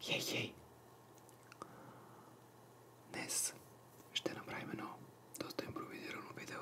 Хей, хей! Днес ще направим едно доста импровизирано видео.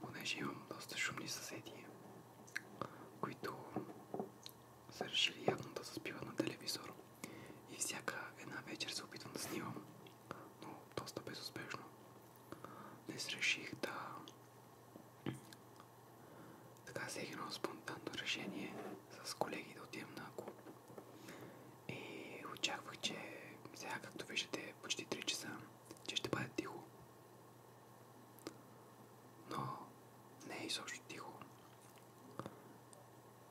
понеже имам доста шумни съседи, които са решили явно да заспиват на телевизор. И всяка една вечер се опитвам да снимам, но доста безуспешно. Днес реших да... Така взех едно спонтанно решение с колеги да отидем на клуб. И очаквах, че сега, както виждате, почти 3 часа, че ще бъде тихо. Но не е изобщо тихо.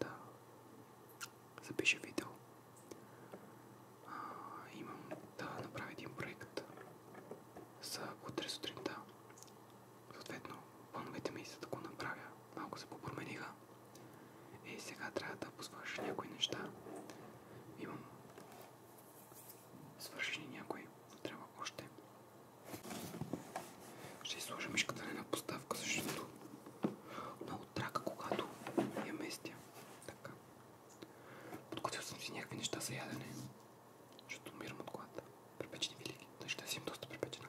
да запиша видео. А, имам да направя един проект за утре сутринта. Съответно, плановете ми за да го направя малко се попромениха. И сега трябва да посвърша някои неща. Имам свършени някои, но трябва още. Ще изложа мишката на една поставка, защото много трака, когато я местя. Така. Подготвил съм си някакви неща за ядене, защото умирам от глад. Препечени вилики. Тъй ще си им доста препечена.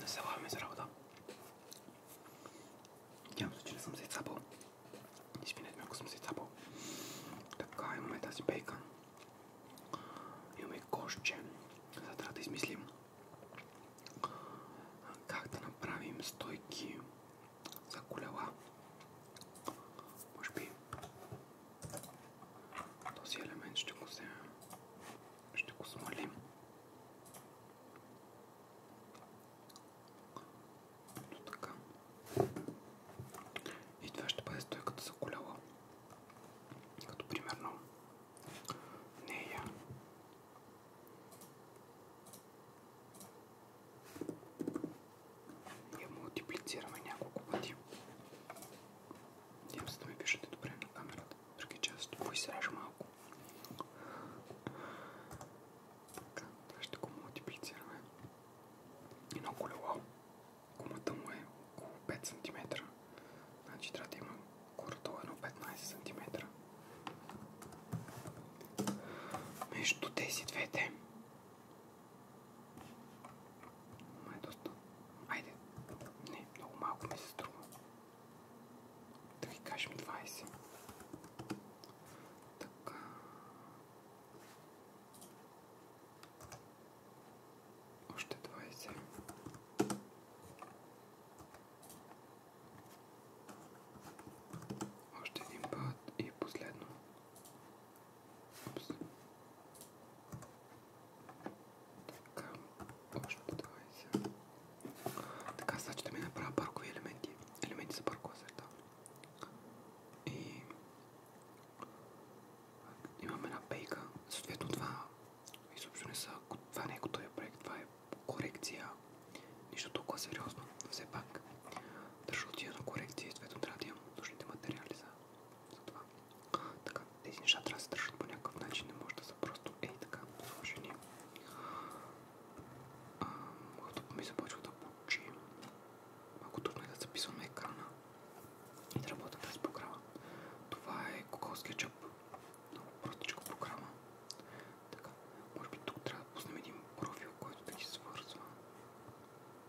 Насяваме за работа. Надявам се, че не съм се цапал. Извинете ме, ако съм се цапал. Така, имаме тази бейкън. Имаме кошче. Сега трябва да измислим как да направим стойки за колела. Може би този елемент ще го вземем. Ще го смалим. Ето така. И това ще бъде стойката за колело. Като примерно нея я мултиплицираме няколко пъти. Надявам се да ми пишете добре на камерата. Други че аз поизрежа малко. Така, това ще го мултиплицираме. Едно колело. Гумата му е около 5 см. Значи трябва да има кордо е едно 15 см. Между тези двете май доста. Айде. Не, много малко ми се струва. Да ви кажем 20. Така. Още 20. Още един път и последно. Опс. Така, още 20. Така, сега значи ще ми направя паркови елементи. Елементи за паркова среда. И имам една пейка, съответно това изобщо не са, това не е готовия проект, това е корекция, нищо толкова сериозно, все пак. Държа отида на корекция и съответно трябва да имам нужните материали за, за това. Така, тези неща трябва да се държат по някакъв начин, не може да са просто ей така сложени. Когато ми започва да получи, малко трудно е да записвам на екрана и да работя тази програма. Това е Google Sketchup, много простичка програма. Така, може би тук трябва да пуснем един профил, който да ги свързва.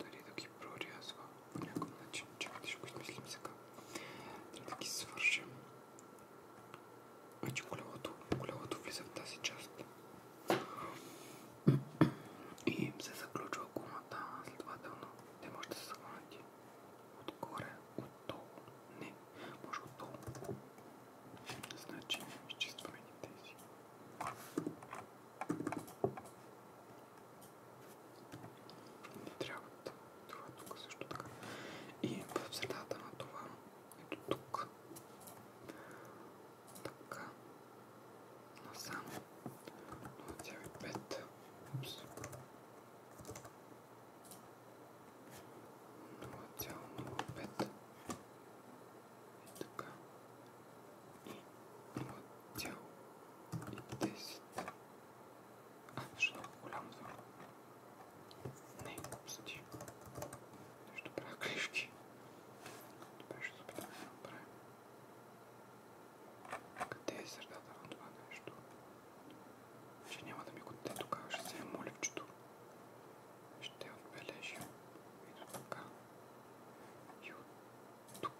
дали да ги прорязва по някакъв начин. Чакайте, ще го измислим сега. Трябва да ги свържем. Значи колелото, колелото влиза в тази част. И им се заключва гумата, следователно. Те може да се захванати отгоре, отдолу. Не, може отдолу. Значи, изчистваме ги тези. Не трябват това тук също така. И в средата на това, ето тук. Така. Насам. 0,5. Упс. 0,05. И така. 0,05 1,10. А, защо голямо звъно? Не, седи. Нещо правя клишки. Добре, ще се опитам да направим. Къде е средата на това нещо? Че няма да ми го даде тогава, ще се е моливчето. Ще отбележим. Ето така. И от тук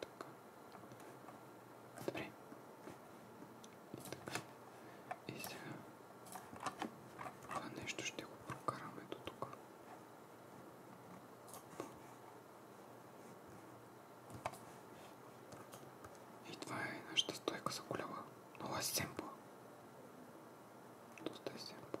Така. Добре. И така. И сега това нещо ще го прокараме до тук. И това е нашата стойка за колела. Много е семпла. Доста е семпла.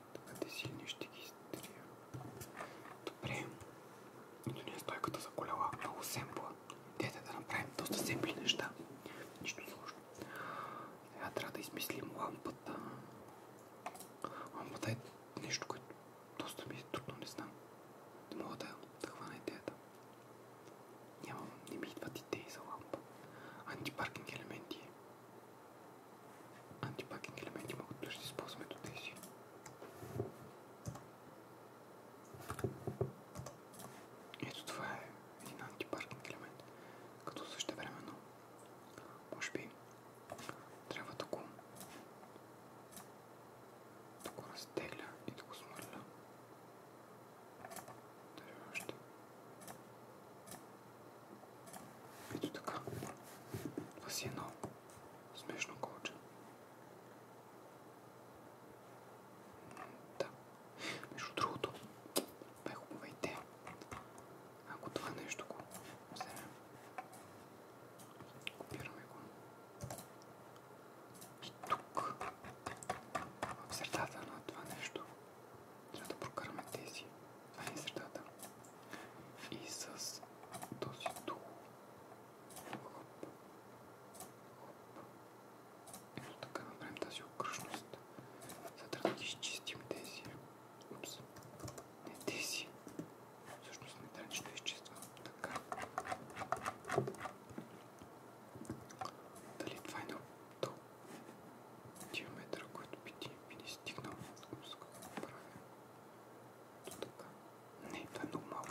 Такъде силни ще ги изтрия. Добре. Ето ни е стойката за колела. Много семпла. Дете да направим доста семпли неща. Нищо сложно. Сега трябва да измислим лампата. Лампата е нещо, което доста ми е трудно, не знам. Не мога да, да хвана идеята. Нямам, не ми идват идеи за лампа. Антипаркинг елементи антипакинг елементи могат да ще използваме до тези. Ето това е един антипаркинг елемент, като същевременно може би трябва да го, да го разтегля и да го смърля. Дали още? Ето така. Това си е едно смешно колче. Да. Между другото, бе хубава идея. Ако това нещо го вземем, копираме го. И тук, в средата на това нещо, трябва да прокараме тези. Това е средата. И с този тул. Хоп. Хоп. Ето така направим тази окръжност. За трябва да изчистим тези. Упс. Не тези. Всъщност не трябва нищо да изчиствам. Така. Дали това е толкова? диаметъра, който би ти би ни стигнал. Опс, какво правя? То така. Не, това е много малко.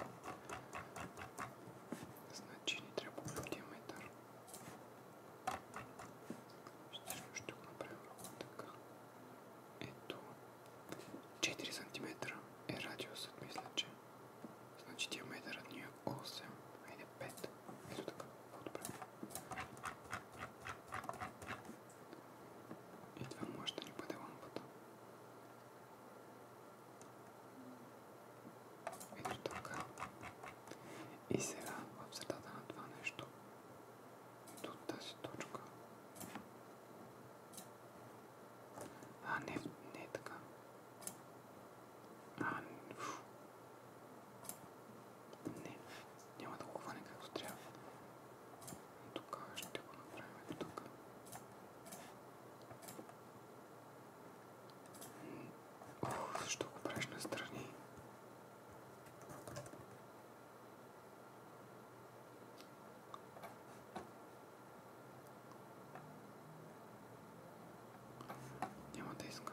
Значи ни трябва диаметър. Ще, ще го направим така. Ето. 4 см е радиусът, мисля, че. Значи диаметърът ни е 8, айде 5. Ето така, по-добре. І това може да ни бъде лампата. Ето така. И сега в средата на това нещо, до тази точка. А, не, не е така. А, фу. Не, няма да го хване както трябва. Тук ще го направим тук. Ох, защо го правиш настрани? Няма да иска.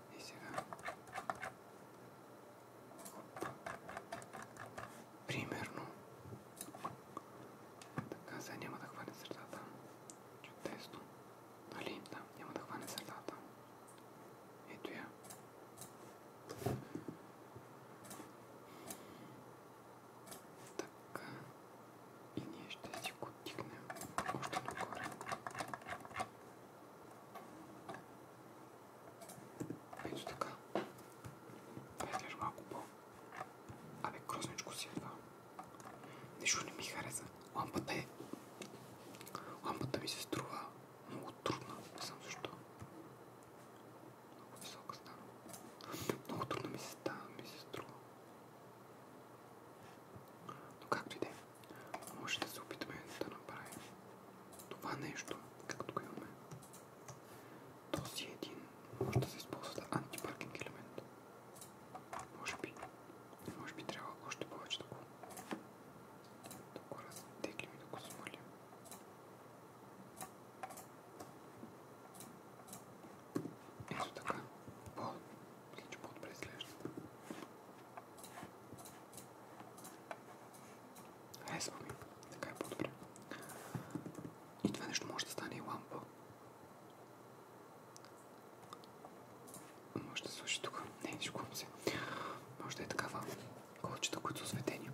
И сега. Примерно. Така, сега няма да хване средата. Чудесно. Нали? Да, няма да хване средата. Ето я. Така и ние ще си го дигнем още догоре. Ето така. Това изглежда малко по... Абе, грозничко си едва. Нещо не ми хареса. Лампата е... Лампата ми се струва много трудна. Не знам защо. Много висока стана. Много трудно ми се става, ми се струва. Но както и да е може да се опитаме да направим това нещо, както го имаме. Този един може да се използва за антипаркинг елемент. Може би, може би трябва още повече да го, да го разтеглим и да го смалим. Ето така. По мисля, че по-добре изглежда. Е Харесва ми. Така е по-добре. И това нещо може да стане и лампа. Може да слуши тук. Не, шуквам се. Може да е такава колчета, които са осветени.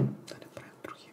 Да не правим други.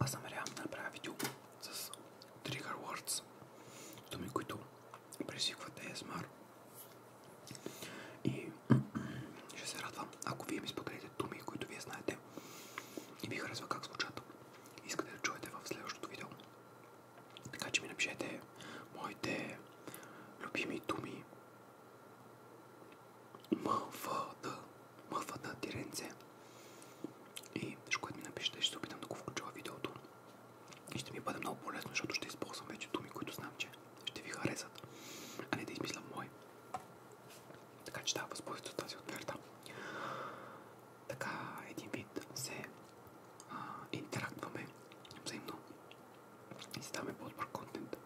Аз съм намерявам да направя видео с Trigger Words, думи, които пресикват ASMR. И ще се радвам, ако вие ми споделите думи, които вие знаете и ви харесва как звучат. Искате да чуете в следващото видео. Така че ми напишете моите любими думи. М, мъвата тиренце. И нещо, което ми напишете, ще се опитам да го включа в видеото. И ще ми бъде много полезно, защото ще използвам вече думи, които знам, че ще ви харесат. А не да измислям мой. Така че да, възползвайте от тази отверта. Така, един вид се а, интерактваме взаимно и си даваме по-добър контент.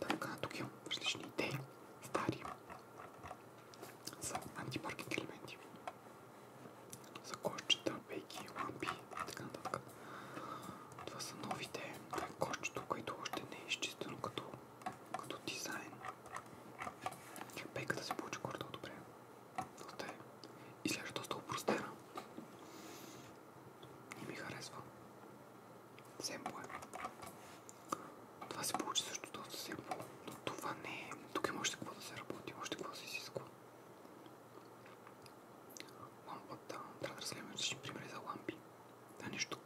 Така, тук имам различни идеи, стари, са антипаркинг елементи. За кошчета, пейки, лампи и така нататък. Това са новите. Това е кошчето, което още не е изчистено като, като дизайн. Пейката се получи гордо добре. Доста е. Изглежда доста опростена. И ми харесва семпо е. Това се получи също доста семпо, но това не е. Тук има още какво да се работи, още какво да се изисква. Лампата, трябва да разгледаме различни примери за лампи. Това е нещо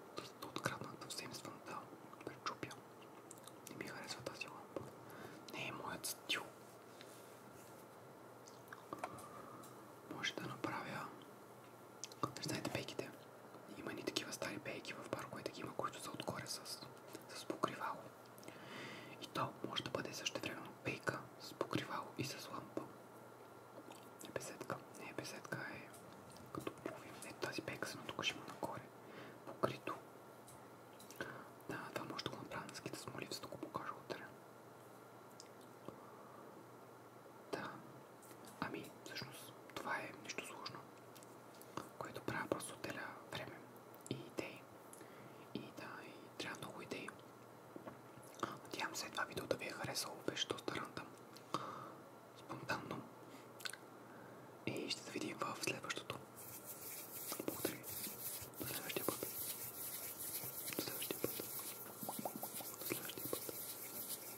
да откраднат съвсем свън да пречупя. Не ми харесва тази лампа. Не е моят стил. Може да направя Знаете пейките? Има ни такива стари пейки в парковете, има, които са отгоре с, с покривало. И то може да бъде също време пейка с покривало и с лампа. Не е беседка. Не е беседка е като половин. Не тази пейка съм тук ще има нагоре. Покрито. Да, това може да го направя на скита с молив, за да го покажа утре. Да, Ами, всъщност, това е нещо сложно, което правя просто отделя време и идеи. И да, и трябва много идеи. Надявам се това видео да ви е харесало, беше доста рандъм. Спонтанно. И ще се видим в следващото. Благодаря ви. До следващия път. До следващия път. До следващия път.